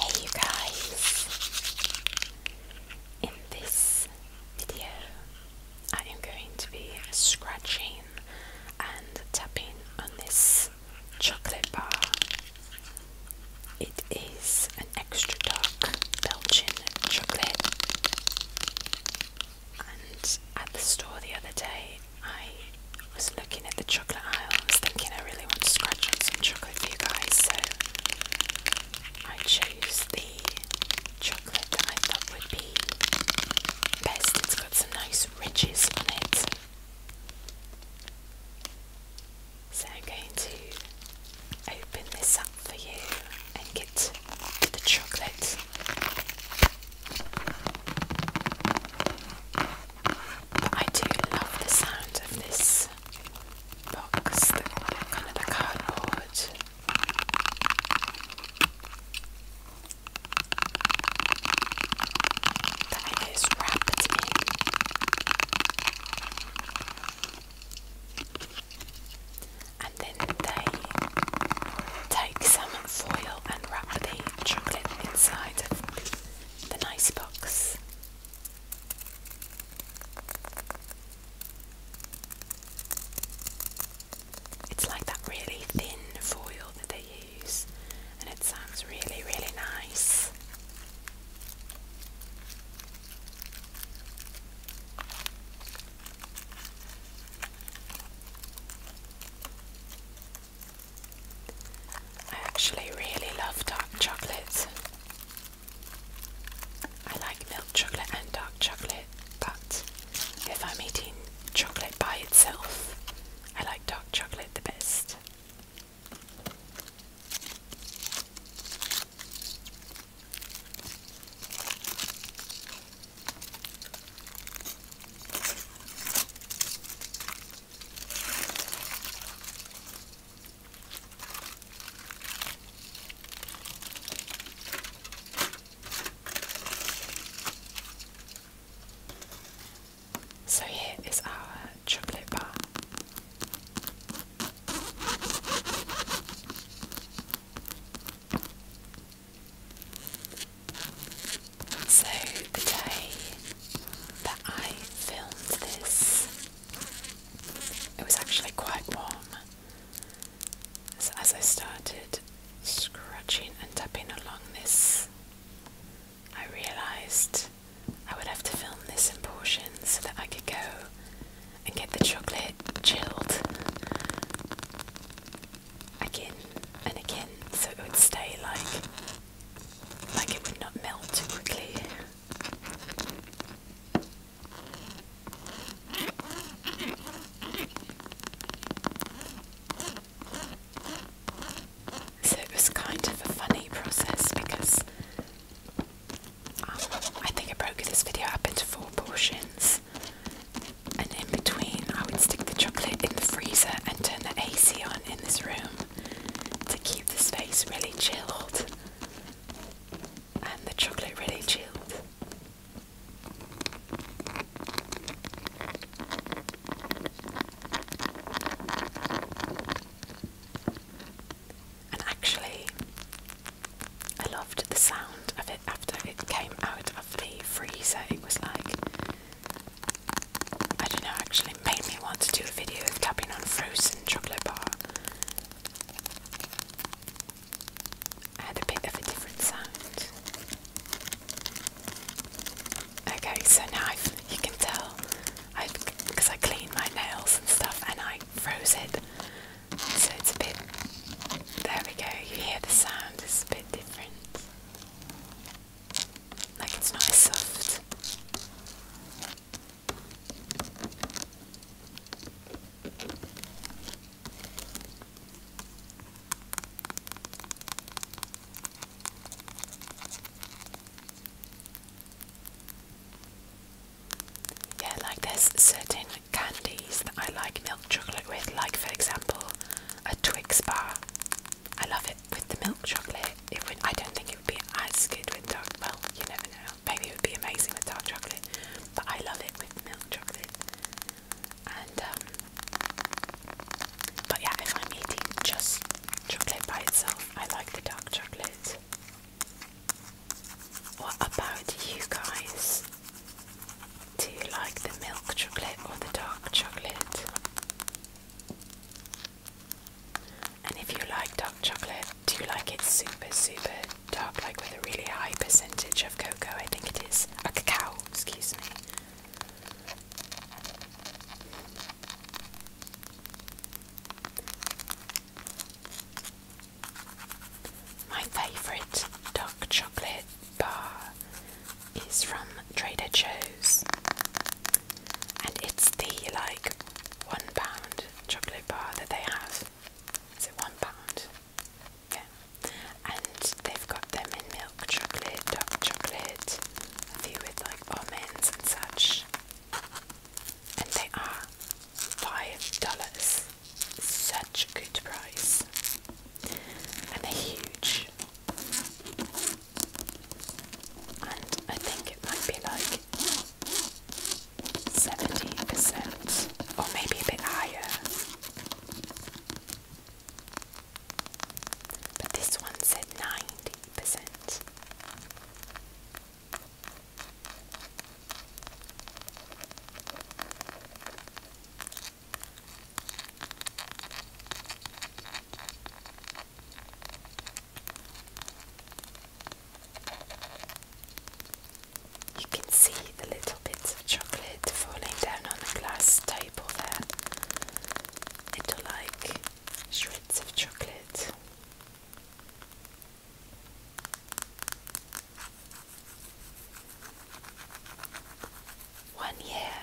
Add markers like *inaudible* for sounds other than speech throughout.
Hey you guys! In this video I am going to be scratching and tapping on this chocolate bar. It is an extra dark Belgian chocolate and at the store the other day I was looking at the chocolate aisle and was thinking I really want to scratch on some chocolate for you guys so I chose the chocolate that I thought would be best. It's got some nice ridges on it. So I'm going to open this up for you and get the chocolate I do love the sound of this box, the kind of the cardboard. That wrapped in. And then they take some foil and wrap the chocolate inside the nice box. It's like that really thin foil that they use, and it sounds really, really nice. I actually really love dark chocolate. I like milk chocolate and dark chocolate, but if I'm eating chocolate by itself, I like dark chocolate the best. So here is our chocolate bar. So, the day that I filmed this, it was actually quite warm. So, as I started scratching and tapping along this, I realised I would have to film this in portions so that I could go and get the chocolate chilled again and again so it would stay like like it would not melt too quickly. So it was kind of a funny process because um, I think I broke this video up into four portions. And in between, I would stick the chocolate in the freezer and turn the AC on in this room to keep the space really chilled. And the chocolate really chilled. And actually, I loved the sound of after it came out of the freezer. It was like I don't know. Actually, made me want to do a video of tapping on frozen chocolate bar. I had a bit of a different sound. Okay, so now you can tell because I cleaned my nails and stuff, and I froze it. So it's a bit. There we go. You hear the sound. It's a bit. Like it's not soft. Yeah, like there's certain candies that I like milk chocolate with, like for example a Twix bar. I love it with the milk chocolate. It would I don't think it would be as good with dark well, you never know. Maybe it would be amazing with dark chocolate. But I love it with milk chocolate. And um but yeah, if I'm eating just chocolate by itself, I like the dark chocolate. What about you guys? Do you like the milk chocolate or the dark chocolate? And if you like dark chocolate, do you like it super, super dark, like with a really high percentage of cocoa? I think it is. A cacao, excuse me. My favourite dark chocolate bar is from Trader Joe's, and it's the like one pound chocolate bar that they have. Is it one pound? Yeah, and they've got them in milk chocolate, dark chocolate, a few with like almonds and such, and they are five dollars such a good price and they're huge and I think it might be like 70% or maybe a bit higher but this one said 90% you can see the little bits of chocolate falling down on the glass table there. Little like shreds of chocolate. One year,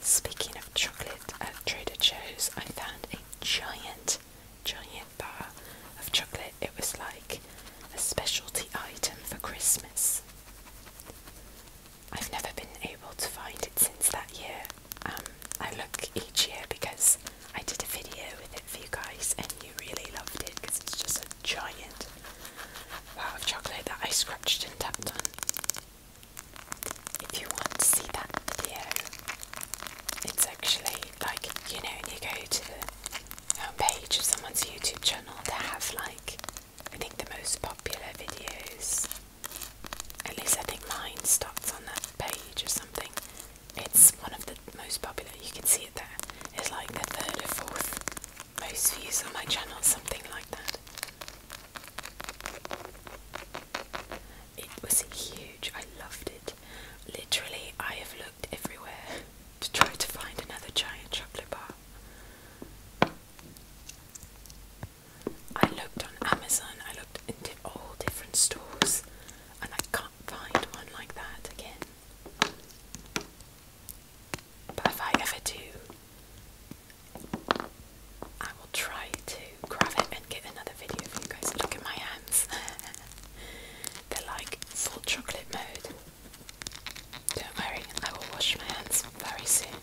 speaking of chocolate at Trader Joe's, I found a giant, giant bar of chocolate. It was like a specialty item for Christmas. I've never been able to find it since that year. Um, I look each year because I did a video with it for you guys and you really loved it because it's just a giant bar of chocolate that I scratched and tapped on. If you want to see that video, it's actually like you know when you go to the homepage of someone's YouTube channel, to have like I think the most popular videos. At least I think mine starts on that page or something. It's one of the most popular. You can see it there. It's like the third or fourth most views on my channel, something like that. It was huge, I loved it. Literally, I have looked everywhere *laughs* to try to find another giant chocolate bar. I looked on Amazon, I looked into all different stores, and I can't find one like that again. But if I ever do, I will try to grab it and get another video for you guys. Look at my hands. *laughs* They're like full chocolate mode. Don't worry, I will wash my hands very soon.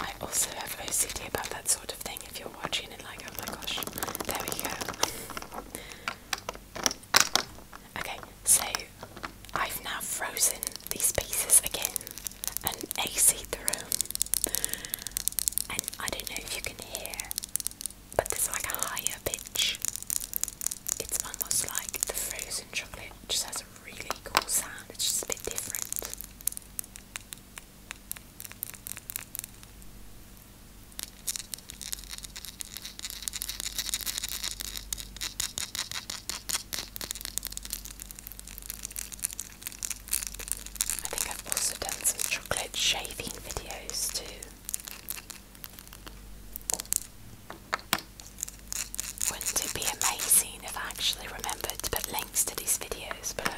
I also have OCD about that sort of thing if you're watching it, like, oh my gosh, there we go. Okay, so I've now frozen these pieces again and aced the room. And I don't know if you can hear, but there's like a higher pitch. It's almost like the frozen chocolate just has a really cool sound, it's just a bit different. I think I've also done some chocolate shaving videos too. Wouldn't it be amazing if I actually remembered to put links to these videos below?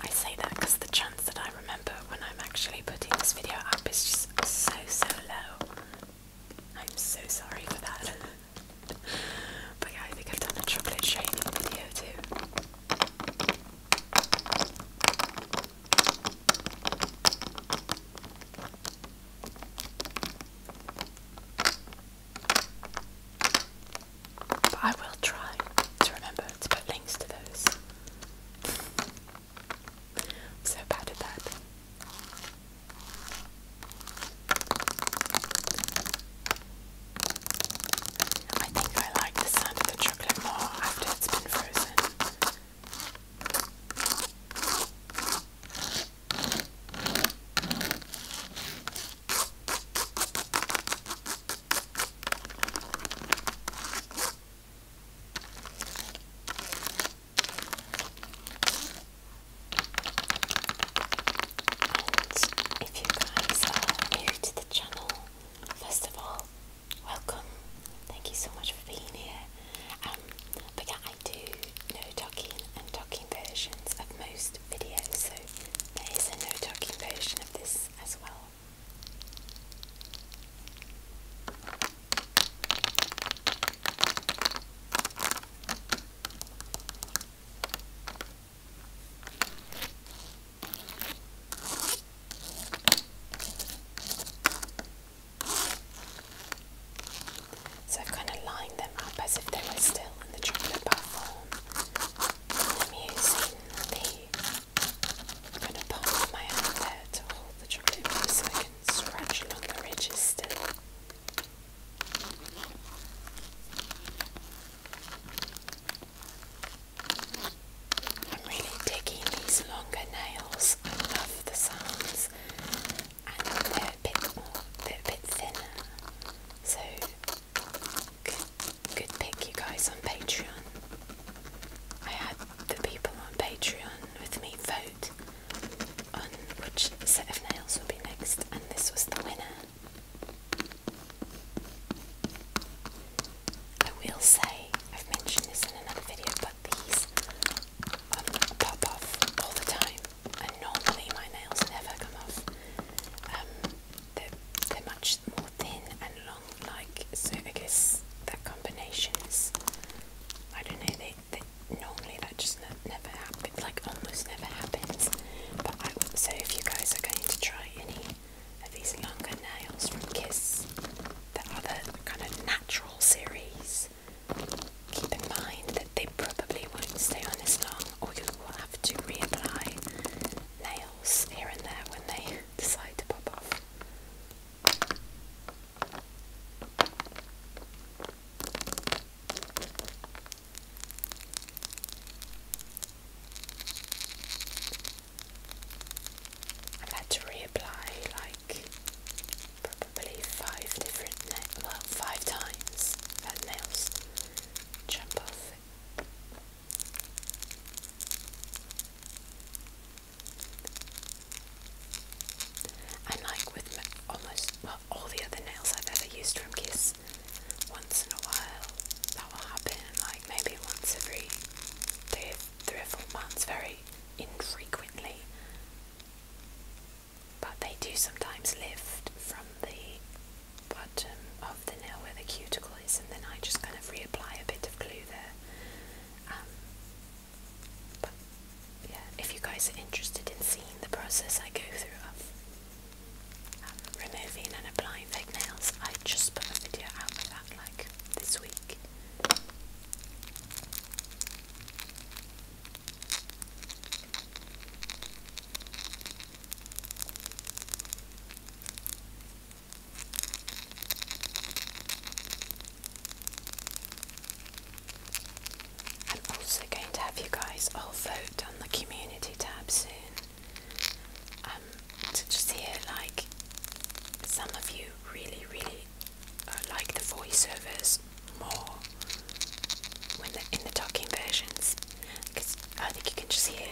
I say that because the chance that I remember when I'm actually putting this video up is just so so low. I'm so sorry for that. *laughs* but yeah, I think I've done a chocolate shaving video too. But I will try to remember to put links to those. *laughs* I'm so bad at that. I think I like the sound of the chocolate more after it's been frozen if you guys are new to the channel, first of all, welcome. Thank you so much for being here. Um, yeah, I do no talking and talking versions of most videos, so there is a no talking version of this as well. So i kind of lined them up as if they were still in the chocolate bar using the I'm going to pass my hand there to hold the chocolate in so I can scratch along the ridges still. I'm really digging these longer nails. I love the sounds and they're a bit more, a bit thinner. So Good, pick, you guys, on Patreon. I had the people on Patreon with me vote on which set of nails would be next, and this was the winner. I will say, I've mentioned this in another video, but these um, pop off all the time, and normally my nails never come off. Um, they're, much more thin and long like so I guess that combination is I don't know they, normally that just never happens like almost never happens but I would say if you guys are going to try any of these longer nails from Kiss the other kind of natural series keep in mind that they probably won't stay on as long or you will have to reapply nails here and there when they decide to pop off. i had to reapply like probably five different well, five times that nails jump off and like with almost all the other nails I've ever used from Kiss, once in a while that will happen, like maybe once every three, three or four months, very infrequently. But they do sometimes lift from the bottom of the nail where the cuticle is and then I just kind of reapply a bit of glue there. Um, but yeah, if you guys are interested in seeing the process I go through of um, removing and applying fake nails, I just put a video out of that like this week. I'm also going to have you guys all vote on the community tab soon. Um, to just hear like some of you really, really uh, like the voiceovers more when they're in the talking versions, because I think you can just hear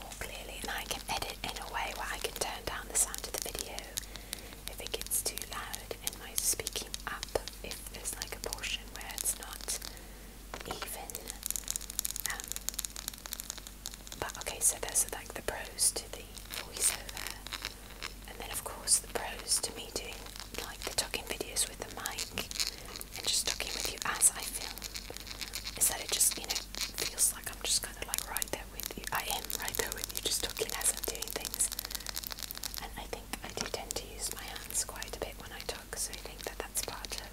more clearly and I can edit in a way where I can turn down the sound of the video if it gets too loud in my speaking app if there's like a portion where it's not even um, but okay so those are like the pros to the voiceover and then of course the pros to me doing like the talking videos with the mic and just talking with you as I feel is that it just, you know, feels like I'm just kind of like right there with you. I am right there with you, just talking as I'm doing things. And I think I do tend to use my hands quite a bit when I talk, so I think that that's part of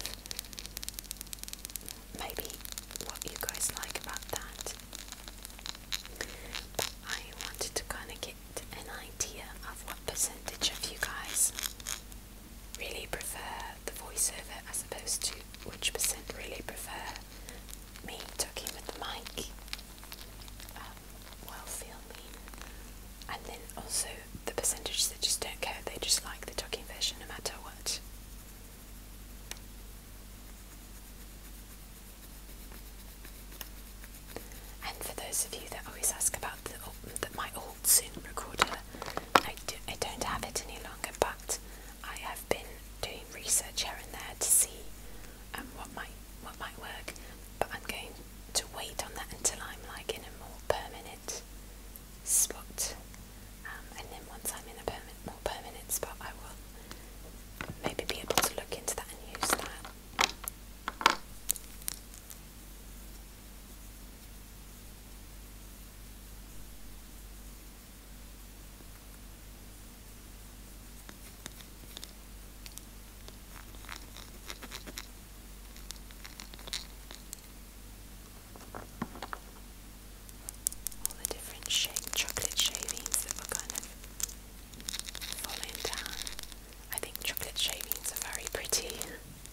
maybe what you guys like about that. But I wanted to kind of get an idea of what percentage of you guys really prefer the voiceover as opposed to which percent really prefer me talking with the mic um, while filming. And then also the percentage that just don't care, they just like the talking version no matter what. And for those of you that always ask about the, oh, that my oh, old recorder. I, do, not have it any longer, but I have been doing research here and there to see um, what might what might work. But I'm going to wait on that until I'm like in a more permanent spot, um, and then once I'm in a permanent, more permanent spot, I will maybe be able to look into that and use that. All the different shape, chocolate shavings that were kind of falling down. I think chocolate shavings are very pretty. *laughs*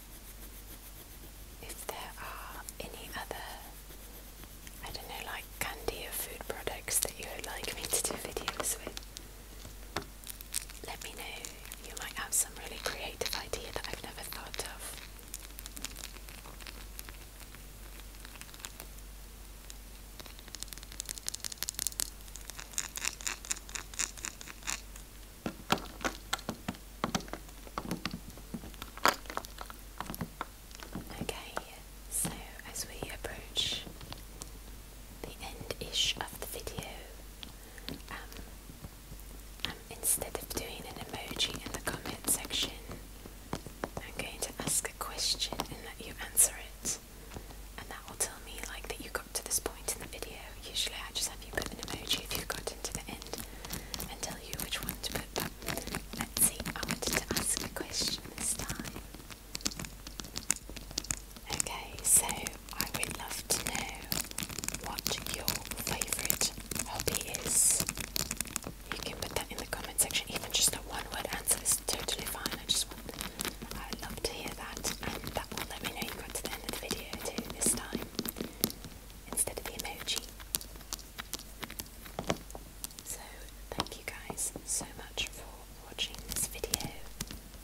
if there are any other, I don't know, like candy or food products that you would like me to do videos with, let me know. You might have some really creative idea that I've never thought of. Okay, so as we approach the end-ish of the video, um, um, instead of doing an emoji in the comment section, I'm going to ask a question and let you answer it. And that will tell me like that you got to this point in the video. Usually I just have you put an emoji if you've gotten to the end. Until Okay, so I would love to know what your favourite hobby is. You can put that in the comment section, even just a one word answer is totally fine. I just want, I would love to hear that, and that will let me know you got to the end of the video too this time instead of the emoji. So, thank you guys so much for watching this video.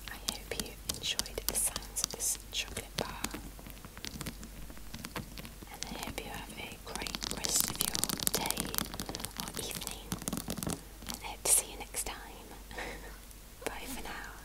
I hope you enjoyed the sounds of this chocolate bar. And I hope you have a great rest of your day or evening. And I hope to see you next time. *laughs* Bye for now.